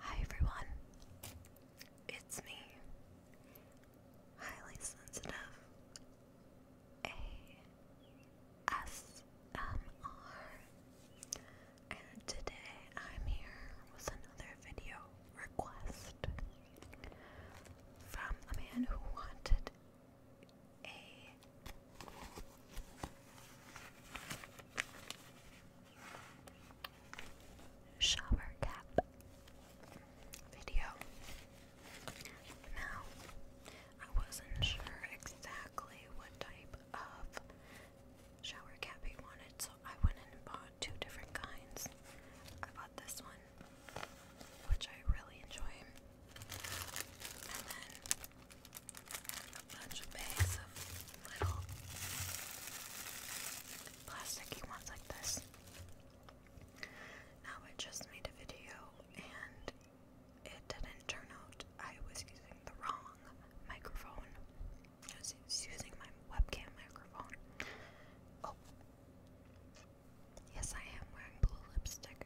Hi everyone, it's me, highly sensitive ASMR, and today I'm here with another video request from a man who wanted a shower cap video. Now, I wasn't sure exactly what type of shower cap he wanted, so I went and bought two different kinds. I bought this one, which I really enjoy, and then a bunch of bags of little plasticky ones like this. Now I just made a video and it didn't turn out. I was using the wrong microphone. I was using my webcam microphone. Oh. Yes, I am wearing blue lipstick.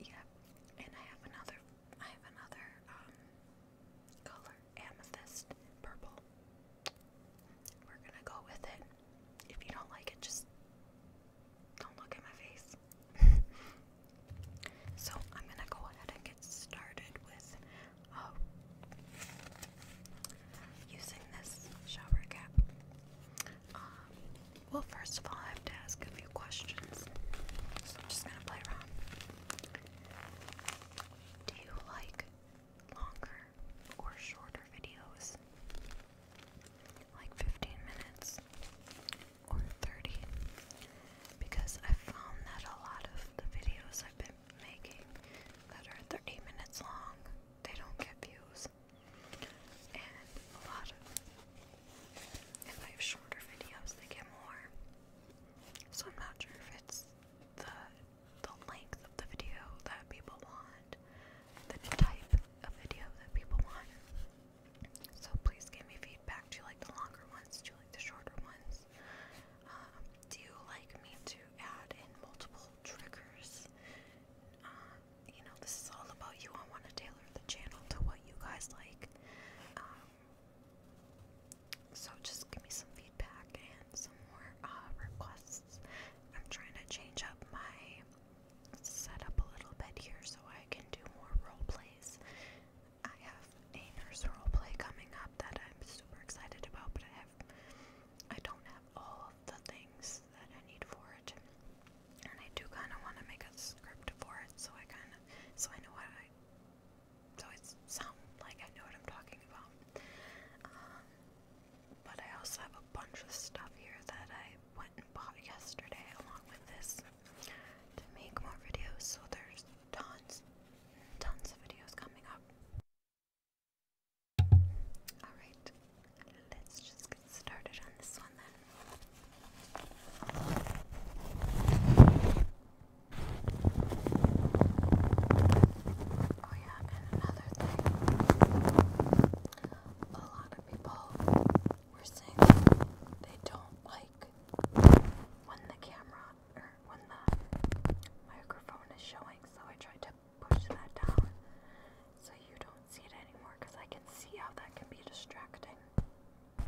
Yep, and I have another. I have another um, color, amethyst purple. We're gonna go with it. If you don't like it, just don't look at my face. so I'm gonna go ahead and get started with uh, using this shower cap. Um, well, first of all, I have to ask a few questions. So I'm just gonna play around. Do you like longer or shorter videos? Like 15 minutes or 30? Because I found that a lot of the videos I've been making that are 30 minutes long, they don't get views. And a lot of if I have shorter videos, they get more. So I'm not sure if it's the the length of the video that people want, the type of video that people want. So please give me feedback. Do you like the longer ones? Do you like the shorter ones? Um, do you like me to add in multiple triggers? Um, you know, this is all about you. I want to tailor the channel to what you guys like. Um, so just give me some feedback and some more uh, requests. I'm trying to change up my setup a little bit here so I can do more role plays. I have a nurse role play coming up that I'm super excited about, but I have I don't have all of the things that I need for it. And I do kind of want to make a script for it, so I kind of, so I know what I, so it sounds like I know what I'm talking about. Um, but I also have a bunch of stuff here that I went and bought yesterday along with this to make more videos, so there's tons, tons of videos coming up. Alright, let's just get started on this one then. Oh, yeah, another thing a lot of people were saying they don't like when the camera or when the microphone is showing, so I tried to push that down so you don't see it anymore because I can see how that can be distracting. And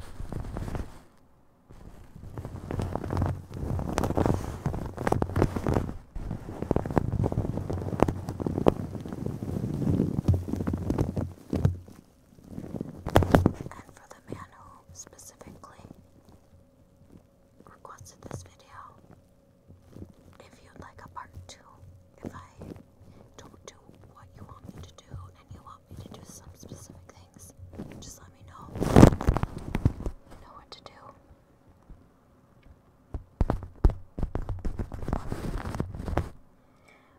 for the man who specifically requested this video, if you'd like a part two, if I don't do what you want me to do and you want me to do some specific things, just let me know. I know what to do.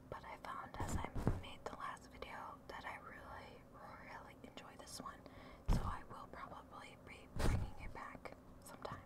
But I found as I made the last video that I really, really enjoy this one. So I will probably be bringing it back sometime.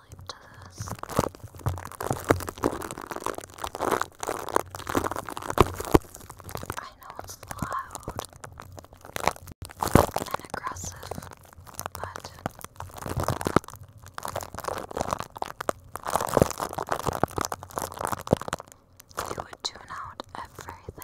I know it's loud and aggressive, but you would tune out everything.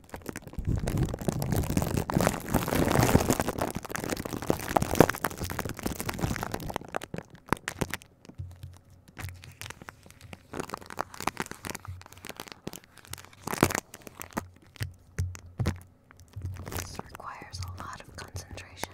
This requires a lot of concentration.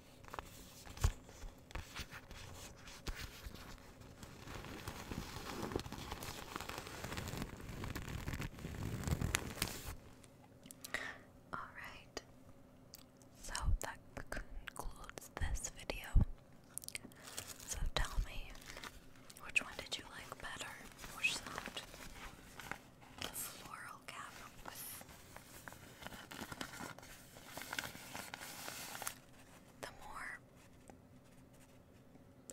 All right. So that concludes this video. So tell me, which one did you like better? Which sound? The floral cap the more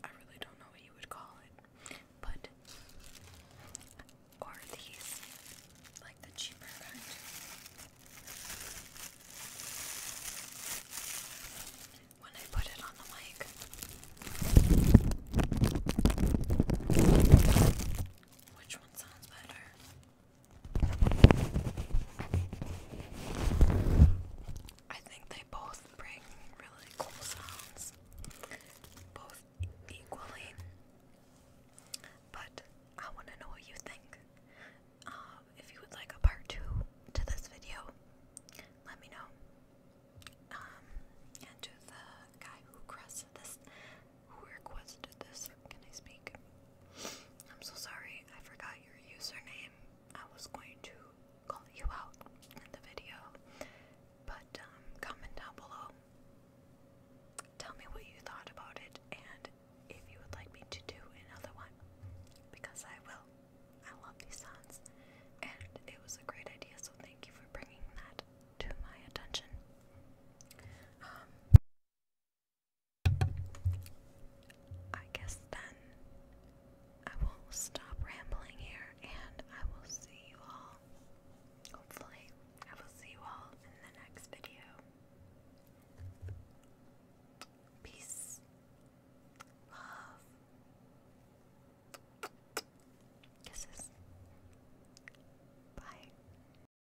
I really don't know what you would call it, but or these like the cheaper kind. When I put it on the mic, which one sounds better? I think they both bring really cool sounds, both equally. But I want to know what you think. Uh, if you would like a part two to this video, let me know. Um, the guy who crossed who requested this? Can I speak? I'm so sorry, I forgot your username. I was going to call you out in the video, but um, comment down below. Tell me what you thought about it and if you would like me to do another one, because I will. I love these sounds, and it was a great idea, so thank you for bringing that to my attention. Um, I guess then I will stop rambling here and I will see you all. Hopefully, I will see you all in the next video. Peace. Love. Kisses. Bye.